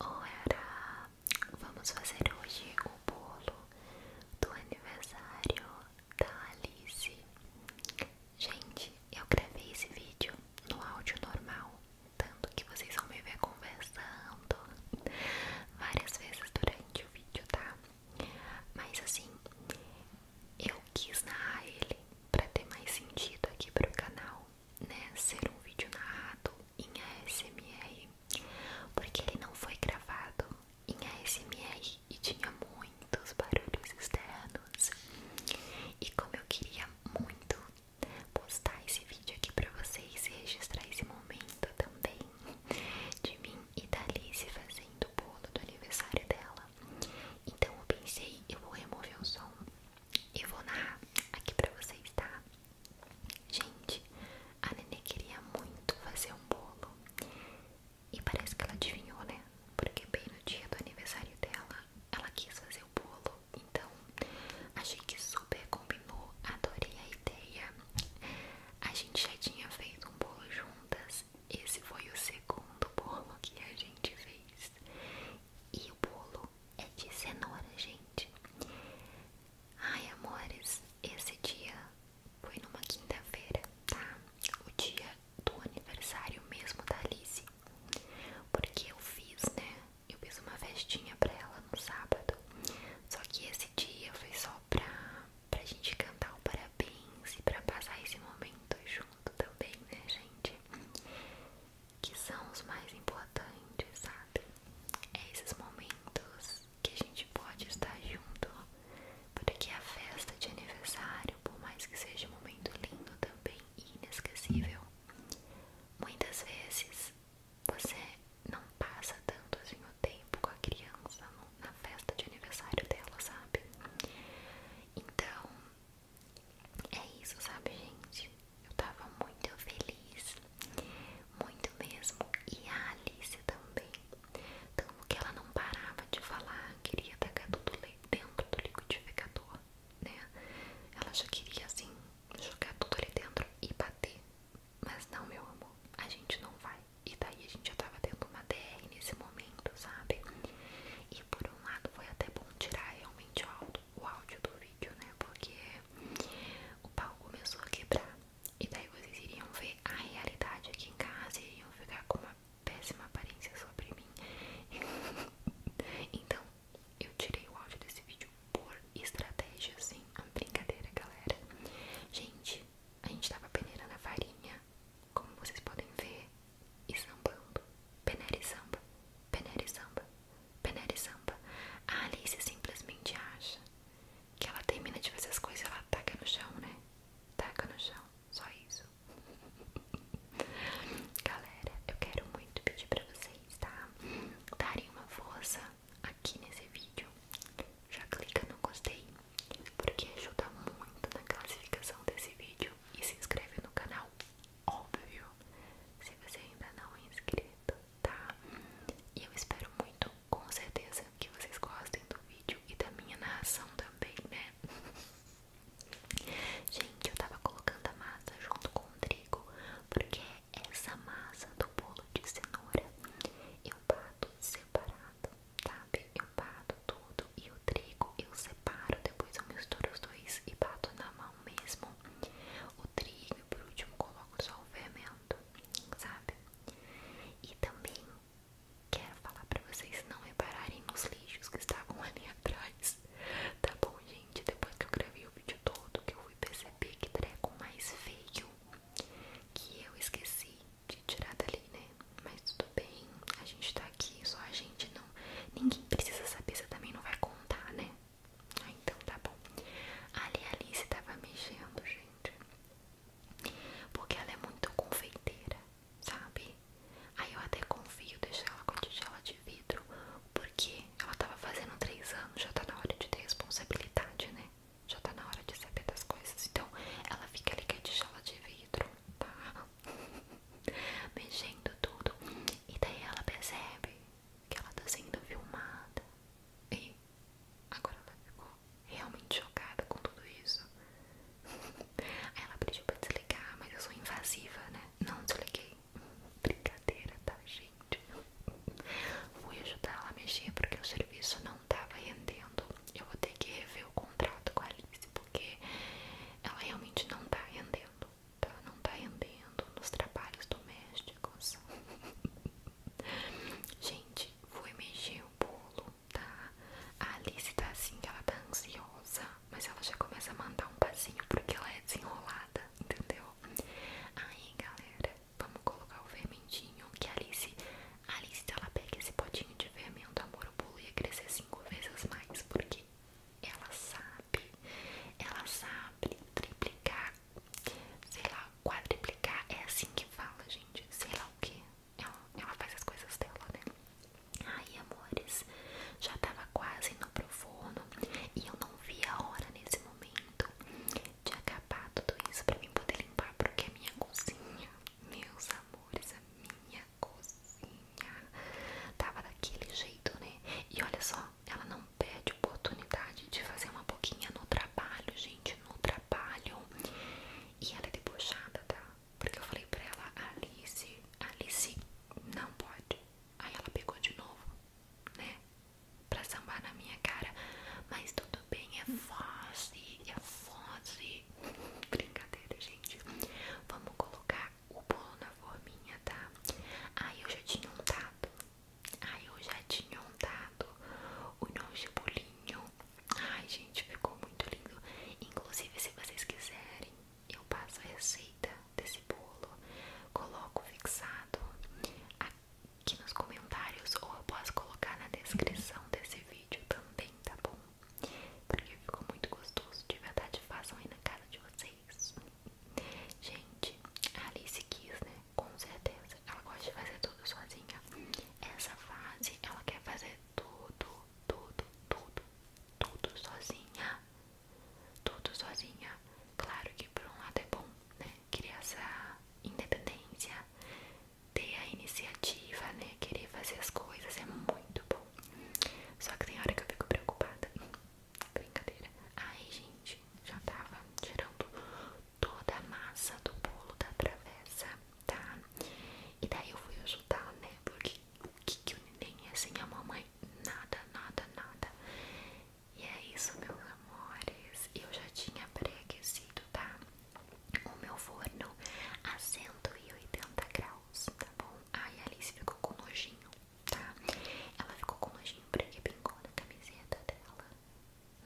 Ora, vamos fazer hoje o bolo do aniversário da Alice. Gente, eu gravei esse vídeo no áudio normal, tanto que vocês vão me ver conversando várias vezes durante o vídeo, tá? Mas assim, eu quis narrar ele pra ter mais sentido aqui pro canal né, ser um vídeo narrado em ASMR, porque ele não foi gravado em ASMR e tinha muitos barulhos externos. E como eu queria muito postar esse vídeo aqui para vocês e registrar esse momento também de mim e da Alice fazendo o bolo do aniversário dela, então eu pensei, eu vou remover o som e vou narrar aqui para vocês, tá? Gente, a nenê queria muito fazer um bolo. E parece que ela adivinhou, né? Porque bem no dia do aniversário dela, ela quis fazer o bolo. Então, achei que super combinou. Adorei a ideia. A gente já tinha feito um bolo juntas. Esse foi o segundo bolo que a gente fez. E o bolo é de cenoura, gente. Ai, amores, esse dia foi numa quinta-feira, tá? O dia do aniversário mesmo da Alice. Porque eu fiz, né? Eu fiz uma festinha pra ela no sábado. Só que esse dia foi só pra, pra gente cantar o parabéns e pra passar esse momento junto também, né, gente? que são os mais importantes, sabe? É esses momentos que a gente pode estar junto, porque a festa de aniversário, por mais que seja um momento lindo também e inesquecível, muitas vezes você não passa tanto assim o tempo com a criança na festa de aniversário dela, sabe? Então, é isso, sabe, gente? Eu tava muito feliz, muito mesmo. E a Alice também. Tanto que ela não parava de falar, queria tacar tudo dentro do liquidificador, né? Ela já queria, assim, jogar tudo ali dentro e bater. Mas não, meu amor, a gente não vai. E daí a gente já tava tendo uma DR nesse momento, sabe? E por um lado foi até bom tirar realmente o áudio, o áudio do vídeo, né? Porque o pau começou a quebrar. E daí vocês iriam ver a realidade aqui em casa e iriam ficar com uma péssima aparência sobre mim. então, eu tirei o áudio desse vídeo por estratégia, assim. brincadeira, galera. Gente, a gente tava peneirando a farinha. Como vocês podem ver, e sambando, peneira e samba, peneira e samba, peneira e samba. A Alice simplesmente acha que ela termina de fazer as coisas ela taca no chão, né? Taca no chão, só isso. Galera, eu quero muito pedir pra vocês, tá? Darem uma força aqui nesse vídeo. Já clica no gostei, porque ajuda muito na classificação desse vídeo e se inscreve no canal óbvio, se você ainda não é inscrito, tá? E eu espero muito, com certeza, que vocês gostem do vídeo e da minha narração também, né? Gente, eu tava colocando a massa junto com o trigo, porque essa massa do bolo de cenoura eu é bato separado, sabe? Eu é bato e o trigo eu separo, depois eu misturo os dois e bato na mão mesmo o trigo e por último coloco só o fermento, sabe? E também quero falar pra vocês não repararem nos lixos que estavam ali atrás, tá bom, gente? Depois que eu gravei o vídeo todo, que eu fui perceber que treco mais feio que eu esqueci de tirar dali, né? mas tudo bem, a gente tá aqui, só a gente não. Ninguém precisa saber, você também não vai contar, né? Ah, então tá bom. Ali a Alice tava mexendo, gente. Porque ela é muito confeiteira, sabe? Aí eu até confio deixar ela com a tigela de vidro, porque ela tava fazendo três anos, já tá na hora de ter responsabilidade, né? Já tá na hora de saber das coisas. Então ela fica ali com a tigela de vidro, tá? mexendo tudo. E daí ela percebe que ela tá sendo filmada. E agora ela ficou realmente chocada com tudo isso. Aí ela pediu pra desligar, mas eu sou invasiva, né? Não desliguei. Brincadeira, tá, gente? Fui ajudar ela a mexer porque o serviço não tava rendendo eu vou ter que rever o contrato com a Alice, porque ela realmente não tá rendendo, tá? Não tá rendendo nos trabalhos domésticos. Gente, vou mexer o bolo, tá? A Alice tá assim, ela tá ansiosa, mas ela já começa a mandar um passinho porque ela é desenrolada, entendeu? Aí, galera, vamos colocar o fermentinho que a Alice, a Alice, ela pega esse potinho de fermento, amor, o bolo ia crescer cinco vezes mais, porque ela sabe, ela sabe triplicar, sei lá, quadriplicar, é assim que fala, gente, sei lá o que, ela, faz as coisas dela, né? Ai, amores, já tava quase no pro forno e eu não vi a hora nesse momento de acabar tudo isso pra mim poder limpar, porque a é minha cozinha, meus amores, a minha cozinha. Tava daquele jeito, né? E olha só, ela não pede oportunidade de fazer uma boquinha no trabalho, gente, no trabalho. E ela é debochada, tá? Porque eu falei pra ela, Alice, Alice, não pode. Aí ela pegou de novo, né? Pra sambar na minha cara. Mas tudo bem, é fase, é fase. Brincadeira, gente. Vamos colocar o bolo na forminha, tá? Aí eu já tinha untado. Aí eu já tinha untado o nosso bolinho. Ai, gente, ficou muito lindo. Inclusive, se vocês quiserem, eu passo a receita desse bolo. Coloco fixado aqui nos comentários ou eu posso colocar na descrição desse vídeo também, tá bom? porque ficou muito gostoso, de verdade façam aí na casa de vocês Gente, a Alice quis, né, com certeza, ela gosta de fazer tudo sozinha Essa fase, ela quer fazer tudo, tudo, tudo, tudo sozinha Tudo sozinha, claro que por um lado é bom, né, criar essa independência ter a iniciativa, né? Querer fazer as coisas é muito bom. Só que tem hora que eu fico preocupada. Brincadeira. Aí, gente, já tava tirando toda a massa do bolo da travessa, tá? E daí eu fui ajudar, né? Porque o que, que o neném é sem a mamãe? Nada, nada, nada. E é isso, meus amores. Eu já tinha preaquecido tá? o meu forno a 180 graus, tá bom? Aí a Alice ficou com nojinho, tá? Ela ficou com nojinho porque pingou é na camiseta dela,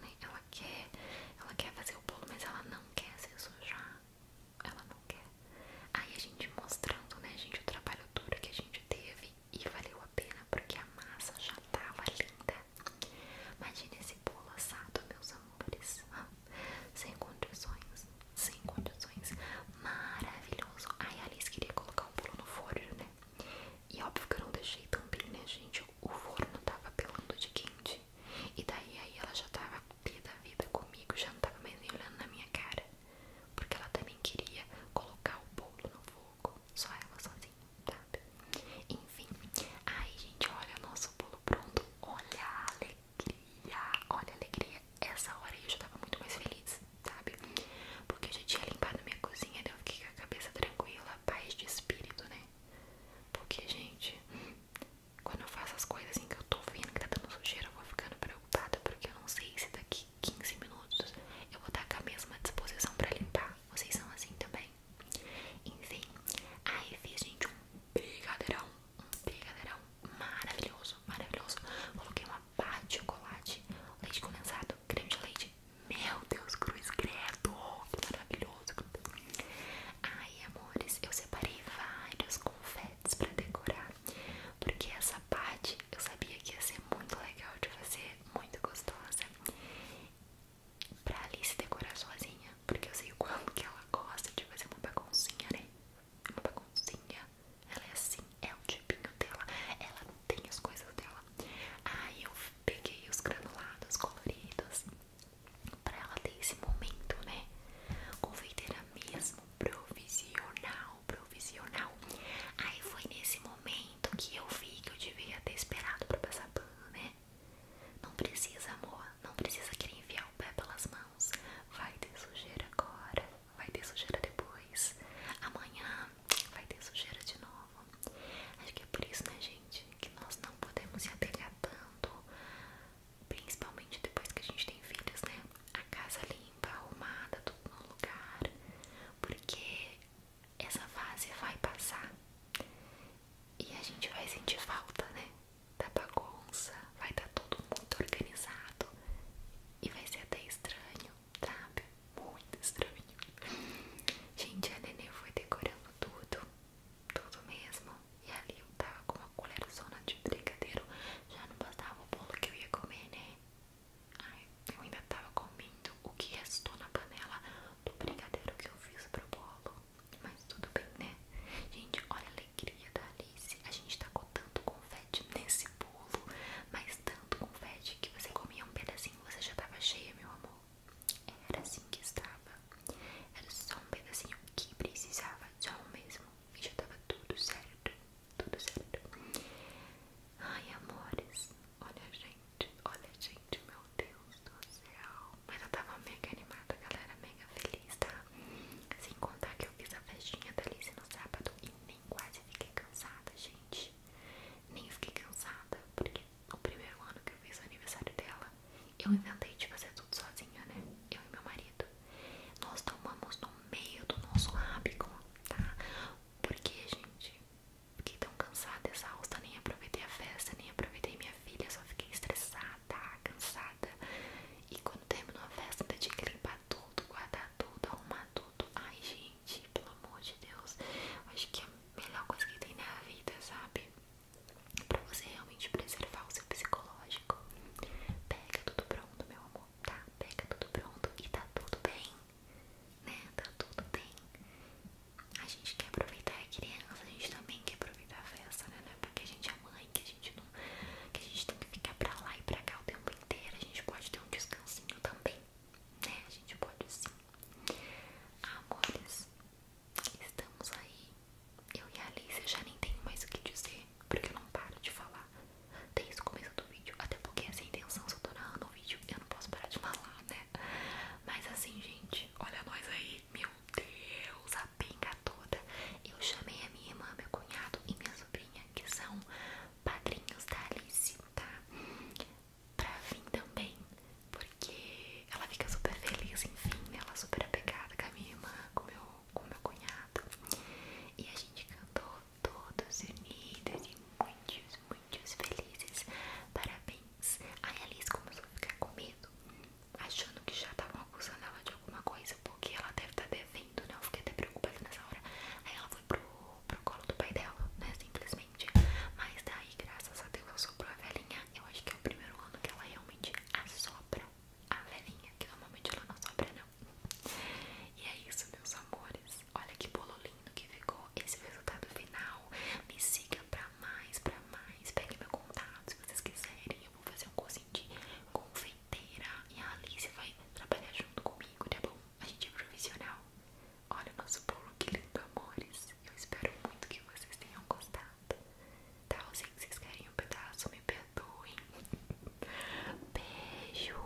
né? Ela quer, ela quer fazer o bolo, mas ela não quer se sujar, ela não quer. Aí a gente mostrando, né, gente, o trabalho duro que a gente teve e valeu a pena porque a massa já tava linda. Imagine esse bolo assado, meus amores. Sem condições, sem condições. Maravilhoso. aí a Alice queria colocar o bolo no forno, né? E óbvio que eu não deixei tão bem, né, gente? O forno tava pelando de quente. E daí aí ela já tava toda da vida comigo, já não tava mais nem olhando na minha cara. Porque ela também queria colocar o bolo no fogo. Só ela sozinha, sabe? Enfim, aí gente, olha o nosso bolo pronto, olha a alegria, olha a alegria. Essa hora eu já tava muito mais feliz, sabe? Porque eu já tinha limpado minha cozinha, então eu fiquei com a cabeça tranquila, paz de espírito, né? Porque, gente, quando eu faço as coisas assim que eu tô vendo que tá dando sujeira, eu vou ficando preocupada porque eu não sei se daqui 15 minutos eu vou estar com a mesma disposição pra limpar. Vocês são assim também? Enfim, aí fiz, gente, um brigadeirão, um brigadeirão maravilhoso, maravilhoso. Coloquei uma barra de chocolate, leite condensado, creme de leite. Meu Deus, cruz credo, que maravilhoso. Ai, amores, eu separei vários confetes pra decorar, porque essa parte eu sabia que ia ser muito legal de fazer, muito gostosa pra ali se decorar sozinha, porque eu sei o quanto que ela gosta de fazer uma baguncinha, né? Uma baguncinha. Ela é assim, é o tipinho dela. Ela tem as coisas dela. Aí eu peguei os granulados coloridos pra ela ter esse momento, né? Confeiteira mesmo, provisional, provisional. Aí foi nesse momento que eu vi que eu devia ter esperado pra passar pano, né? Não precisa, amor. Não precisa querer enfiar o pé pelas mãos. Vai ter sujeira agora. Vai ter sujeira depois. Amanhã vai ter sujeira de novo. Acho que é por isso, né, gente? Que nós não podemos se apegar tanto. Principalmente depois que a gente tem filhos, né? A casa limpa, arrumada, tudo no lugar. Porque essa fase vai passar e a gente vai sentir falta, né? Da bagunça, vai estar tá todo mundo organizado e vai ser até estranho, sabe? Muito estranho. Gente, a Nenê foi decorando tudo, tudo mesmo. E ali eu tava com uma colherzona de brigadeiro, já não bastava o bolo que eu ia comer, né? Ai, eu ainda tava com o que restou na panela do brigadeiro que eu fiz pro bolo. Mas tudo bem, né? Gente, olha a alegria da Alice. A gente tacou tanto confete nesse bolo, mas tanto confete que você comia um pedacinho você já tava cheia, meu amor. Era assim que estava. Era só um pedacinho que precisava, só o mesmo. E já tava tudo certo. Tudo certo. Ai, amores. Olha, gente olha gente, meu Deus do céu. Mas eu tava mega animada, galera, mega feliz, tá? Sem contar que eu fiz a festinha da Alice no sábado e nem quase fiquei cansada, gente. Nem fiquei cansada, porque no primeiro ano que eu fiz o aniversário dela, eu inventei de fazer tudo sozinha, né? Eu e meu marido. Nós tomamos no meio do nosso hábito, tá? Porque, gente, Fiquei tão cansada, exausta, nem aproveitei a festa, nem aproveitei minha filha, só fiquei estressada, cansada. E quando terminou a festa, ainda tinha que limpar tudo, guardar tudo, arrumar tudo. Ai, gente, pelo amor de Deus, acho que é a melhor coisa que tem na vida, sabe? Pra você realmente preservar o seu psicológico. Pega tudo pronto, meu amor, tá? Pega tudo pronto e tá tudo bem né? Tá tudo bem. A gente quer aproveitar a criança, a gente também quer aproveitar a festa, né? É porque a gente é mãe, que a gente não. que a gente tem que ficar pra lá e pra cá o tempo inteiro. A gente pode ter um descansinho também, né? A gente pode sim. Amores, estamos aí. Eu e a Alice já nem tenho mais o que dizer, porque eu não paro de falar desde o começo do vídeo, até porque essa é intenção só tô na vídeo, eu não posso parar de falar, né? Mas assim, gente, olha nós aí, meu Deus, a pinga toda. Eu chamei a minha irmã, meu cunhado e minha sobrinha, que são padrinhos da Alice, tá? Pra vir também, porque ela fica super feliz, enfim, né? ela super apegada com a minha irmã, com meu, com meu cunhado. E a gente cantou todos unidos e muitos muitos felizes. Parabéns. a Alice começou a ficar com medo, achando que já estavam acusando ela de alguma coisa, porque ela deve estar tá devendo, né? Eu fiquei até preocupada nessa hora. Aí ela foi pro, pro colo do pai dela, né? Simplesmente. Mas daí, graças a Deus, assoprou a velhinha. Eu acho que é o primeiro ano que ela realmente assopra a velhinha, que normalmente ela não assopra, não. E é isso, meus amores. Olha que bolo lindo que ficou esse resultado final. Me siga pra mais, pra mais. Pegue meu contato se vocês quiserem. Eu vou fazer um cursinho de confeiteira e a Alice vai trabalhar junto comigo, tá bom? A gente é profissional. Olha o nosso bolo, que lindo, amores. Eu espero muito que vocês tenham gostado. Tá? Eu sei que vocês querem um pedaço, me perdoem. Beijo.